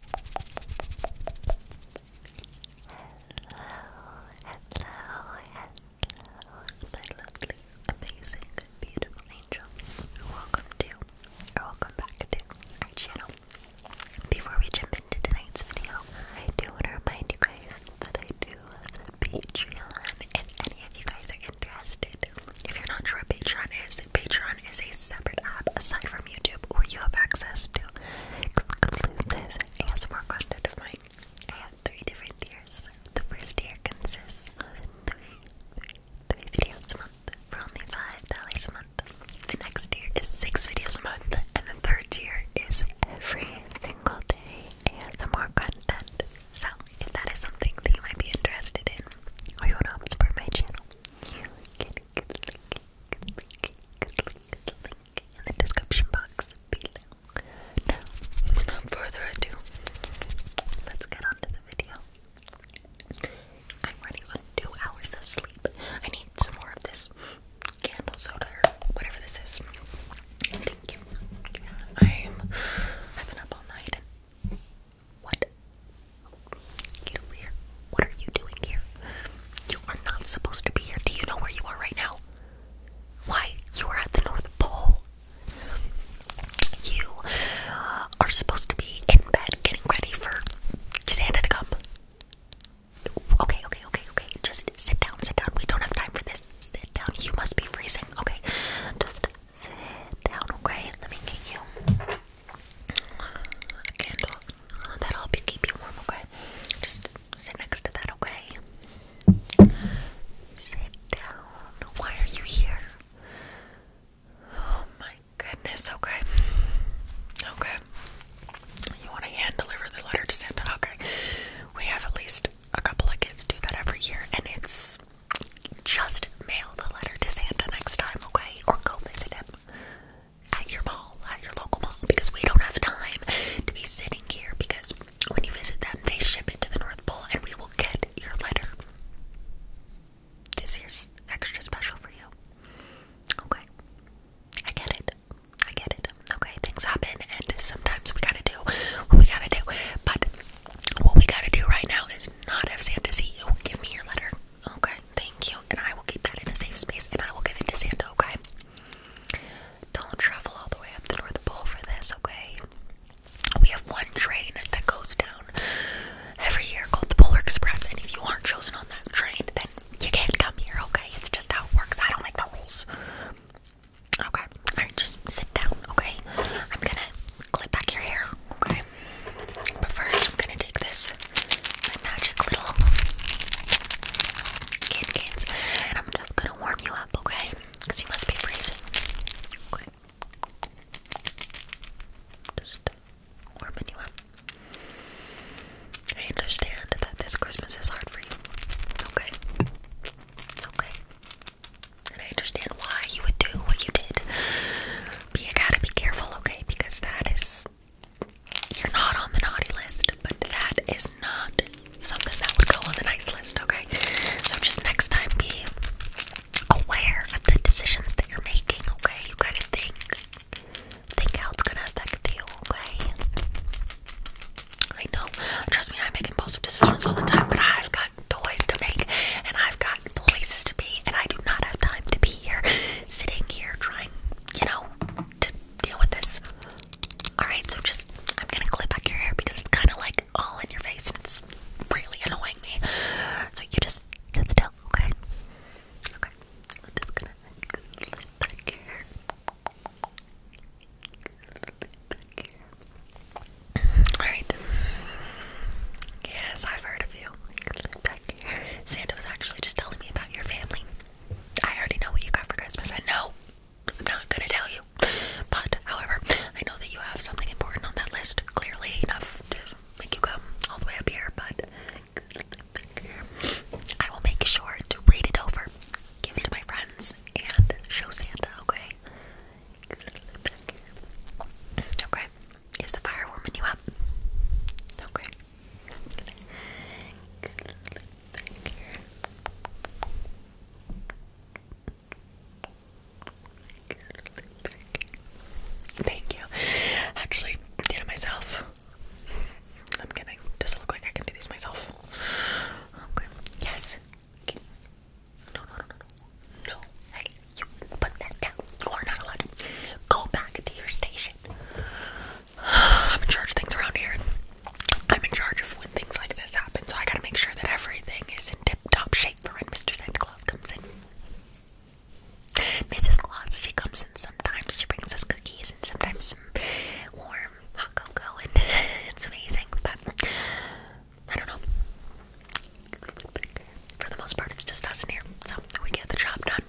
hello, hello, my lovely, amazing, beautiful angels. Welcome to, or welcome back to our channel. Before we jump into tonight's video, I do want to remind you guys that I do Patreon. If any of you guys are interested, if you're not sure what Patreon is, Patreon is a separate app aside from YouTube where you have access to exclusive ASMR content I have three different tiers. The first tier consists of three videos a month for only $5 a month. The next tier is six videos a month, and the third tier is every single day and the more content. So, if that is something that you might be interested in, or you want to support my channel, in the description box below. Now, without further ado, let's get on the video. I'm running on two hours of sleep. I need some more of this candle soda or whatever this is. Thank you. I'm I've been up all night what Get over here. What are you doing here? You are not supposed to be here. Do you know where you are right now? Why? You are at the North Pole. You uh, are supposed to be in bed getting ready for Santa to come. Okay, okay, okay, okay. Just sit down, sit down. We don't have time for this. Sit down. You must be freezing. Okay. Just sit down, okay? Let me get you a candle. Oh, that'll help you keep you warm, okay? Just sit next to that, okay? Sit down. Why are you here? Oh my goodness, okay. Okay. You want to hand deliver this letter to Santa? Okay. We have at least a couple of kids do that every year, and it's just mail the letter to Santa next time, okay? Or go visit him at your mall, at your local mall, because we don't have time to be sitting here. Because when you visit them, they ship it to the North Pole, and we will get your letter. This year's extra special for you. Okay, I get it. I get it. Okay, things happen, and sometimes we gotta do what we gotta do. But what we gotta do right now is not have Santa see you. Give me your letter. Okay, thank you. And I will keep that in a safe space and I will give it to Santa, okay? Don't travel all the way up to North Pole for this, okay? We have one train that goes down every year called the Polar Express, and if you aren't chosen on that train, then you can't come here, okay? It's just how it works. I don't make the rules. Okay, alright, just sit down, okay? I'm gonna clip back your hair, okay? But first, I'm gonna take this my magic little kid cans. And I'm just gonna warm you up, okay? Because you must be freezing. Okay. Just warming you up. I understand that this Christmas is hard for you. okay. It's okay. And I understand why you would do what you did. But you gotta be careful, okay? Because that is you're not on the naughty list, but that is not something that would go on the nice list, okay? So just next time be aware of the decisions that you're making, okay? You gotta think. Think how it's gonna affect you, okay? I know. Trust me, I make impulsive decisions all the time, but I've got toys to make and I've got places to be and I do not have time to be here sitting here trying, you know, to deal with this. Alright, so just, I'm gonna clip back your hair because it's kind of like all in your face and it's really annoying me. So you just sit still, okay? Okay, I'm just gonna clip back your hair. Alright. Yes, I've heard of you. Santa was actually just telling me about your family. I already know what you got for Christmas. I know I'm not gonna tell you. But however, I know that you have something important on that list, clearly enough to make you come all the way up here, but I will make sure to read it over, give it to my friends, and show Santa, okay? Okay. Is the firewoman you up? Okay. Thank you. Actually, did it myself. I'm kidding. Doesn't look like I can do these myself. Okay. Yes. No, no, no, no, Hey, you put that down. You are not allowed. go back to your station. I'm in charge of things around here. I'm in charge of when things like this happen, so I gotta make sure that everything is in tip top shape for when Mr. Santa Claus comes in. Mrs. Claus, she comes in sometimes, she brings us cookies and sometimes some warm hot cocoa, and it's amazing, but I don't know. For the most part, it's just us in here, so we get the job done.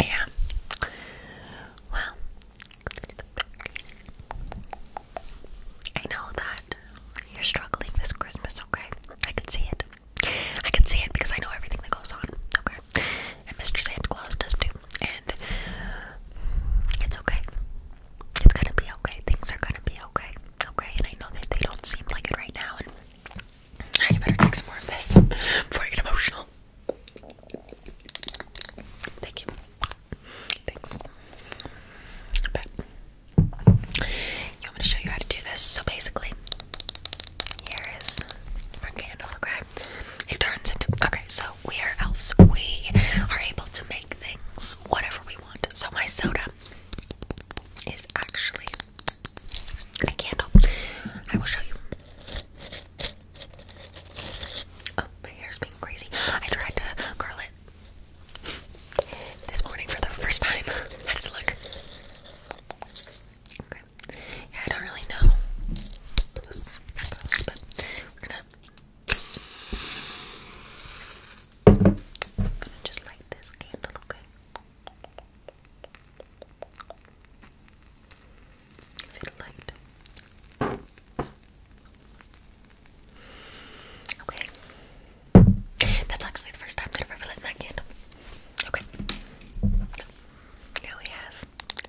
Yeah. Well, I know that you're struggling this Christmas, okay? I can see it. I can see it because I know everything that goes on, okay? And Mr. Santa Claus does too. And it's okay. It's gonna be okay. Things are gonna be okay, okay? And I know that they don't seem like it right now. I better take some more of this before I get emotional. Thank you. Thanks. you want me to show you how to do this? So basically, here is our candle, okay? It turns into okay, so we are elves. We are able to make things whatever we want. So my soda is actually a candle. I will show you. Oh, my hair's being crazy. I tried to curl it this morning for the first time. How does it look? Okay. I don't really know. but we're gonna just light this candle, okay? Okay. That's actually the first time that I've ever lit that candle. Okay. So, now we have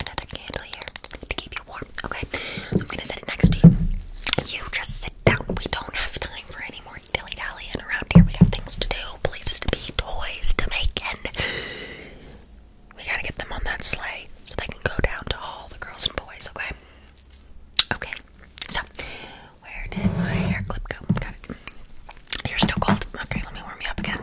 another candle here to keep you warm. Okay. So I'm gonna set it next to you. You just sit down. We don't have time for any more dilly dallying around here. We got things to do, places to be, toys to make, and we gotta get them on that sleigh so they can go down to all the girls and boys, okay? Okay, so where did my hair clip go? Got it. You're Okay, let me warm you up again.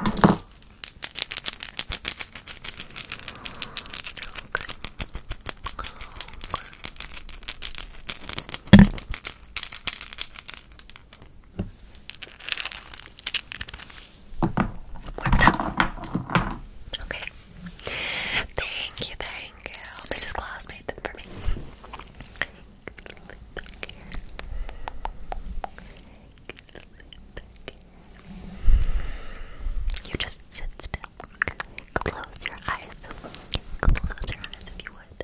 Whipped up. Okay. Thank you, thank you. Mrs. Claus made for me. You just sit still. Close your eyes. Close your eyes if you would.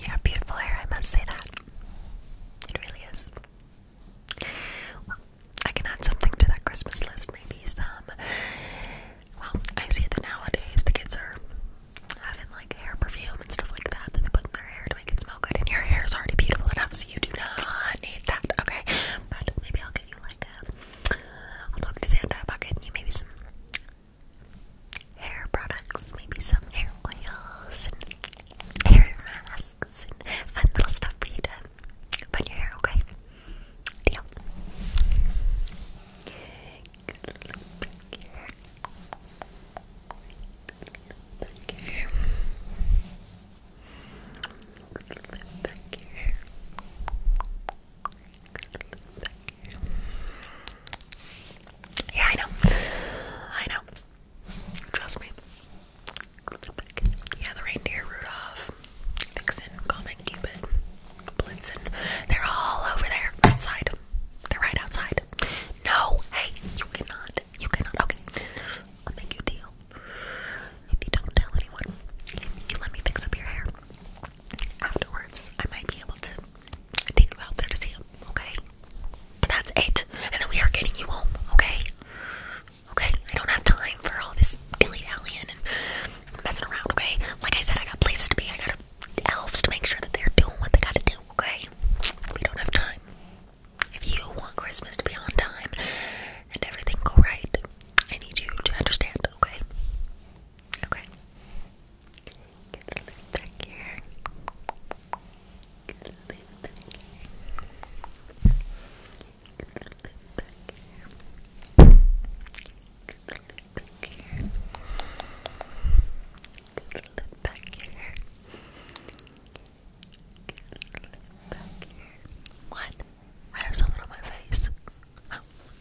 Yeah, beautiful hair, I must say that. It really is. Well, I can add something to that Christmas list, maybe some. Well, I see that nowadays the kids are having like hair perfume and stuff like that that they put in their hair to make it smell good, and your hair is already beautiful enough, so you do not need that, okay? But maybe I'll give you like a I'll talk to Santa about getting you maybe some hair products, maybe some hair oils hair masks and fun little stuff for you to put your hair, okay? Deal. Yeah, I know. I know. Trust me. Yeah, the reindeer, Rudolph, Vixen, Comet, Cupid, Blitzen, they're all over there outside. They're right outside. No, hey, you cannot. You cannot. Okay, I'll make you deal. If you don't tell anyone, you let me fix up your hair, afterwards I might be able to take you out there to see him, okay? But that's it. And then we are getting you home, okay? Okay, I don't have time for all this dilly-dallying and messing around, okay? Like I said, I got places to be. I got elves to make sure that they're doing what they gotta do, okay? We don't have time. If you want Christmas to be on time and everything go right, I need you to understand, okay? Okay. Get the back here. Get the back here. Get the back here. Get the back here. Get the back here. Get I have something on my face. Oh,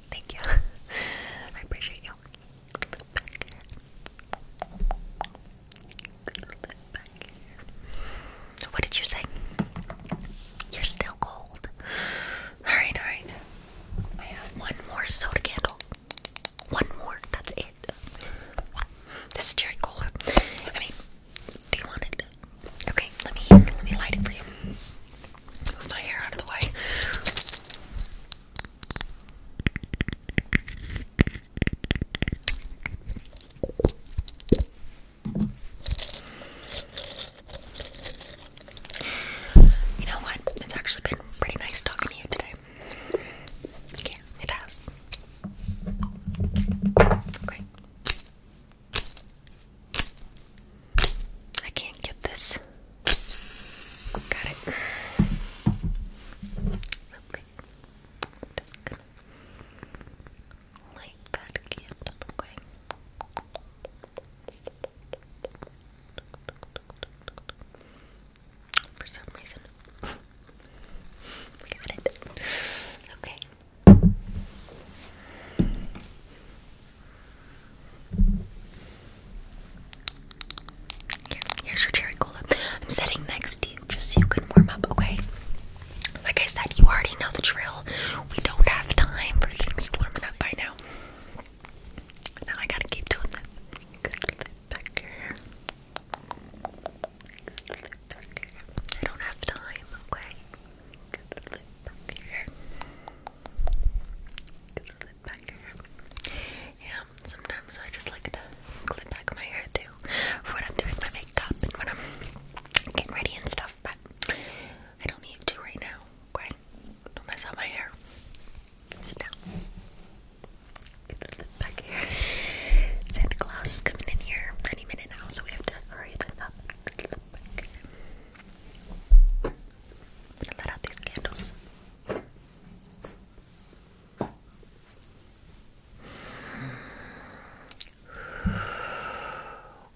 thank you. I appreciate you. What did you say? You're still cold. Alright, alright. I have one more soda candle. One more. That's it. This is cherry cola. I mean, do you want it? Okay, let me let me light it for you move my hair out of the way. You know what? It's actually been pretty nice talking to you today. Yeah, it has. Okay. I can't get this. Got it. Okay. that candle, okay? For some reason. Got it. Okay here's your cherry cola. I'm sitting next to you just so you can warm up, okay? Like I said, you already know the drill. We don't have time for things to warm up by now. Now I gotta keep doing this. I don't have time, okay? Good lip back here. Good lip back here. Yeah, sometimes I just like to clip back my hair too for when I'm doing my makeup and when I'm getting ready and stuff, but I don't need to right now. Okay? Don't mess up my hair. Sit down. Good lip back here. Santa Claus is coming in here any minute now, so we have to hurry that up. I'm gonna let out these candles.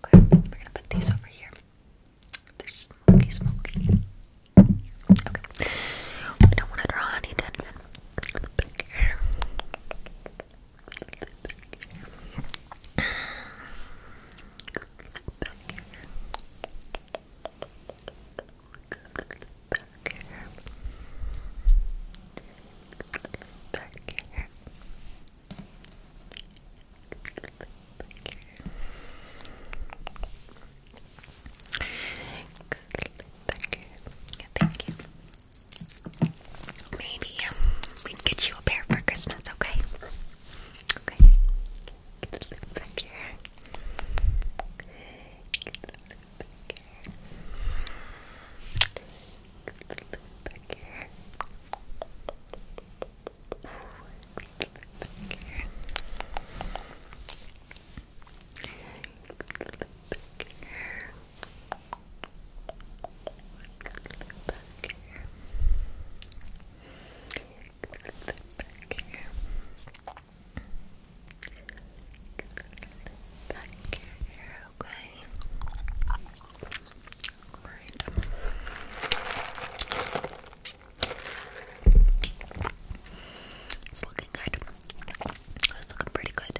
Okay, we're gonna put these over here. They're smoky, smoky. Okay. I don't want to draw any attention back here. Back here. Back here. Back here. Thank you. Maybe um, we can get you a pair for Christmas, okay? Okay. Get it back here. Get it back here. Get it back here. Get it back here. Get it back here. Back here back here. Back here, okay. Right. It's looking good. It's looking pretty good.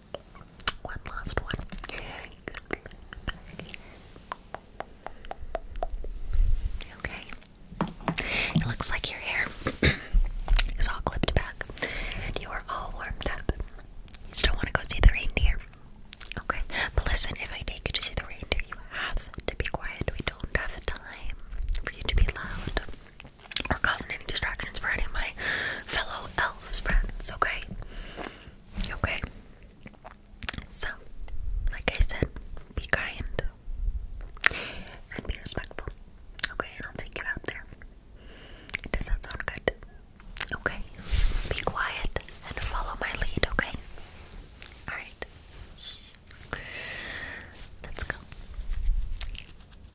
One last one. Okay. It looks like your hair is all clipped back and you are all warmed up. You still want to go see the reindeer? Okay. But listen, if I take you to see the reindeer, you have to be quiet. We don't have time for you to be loud or causing any distractions for any of my fellow elves friends, okay? Okay? So, like I said, be kind and be respectful, okay? And I'll take you out there. Does that sound good? Okay? Be quiet and follow my lead, okay? Alright. Let's go.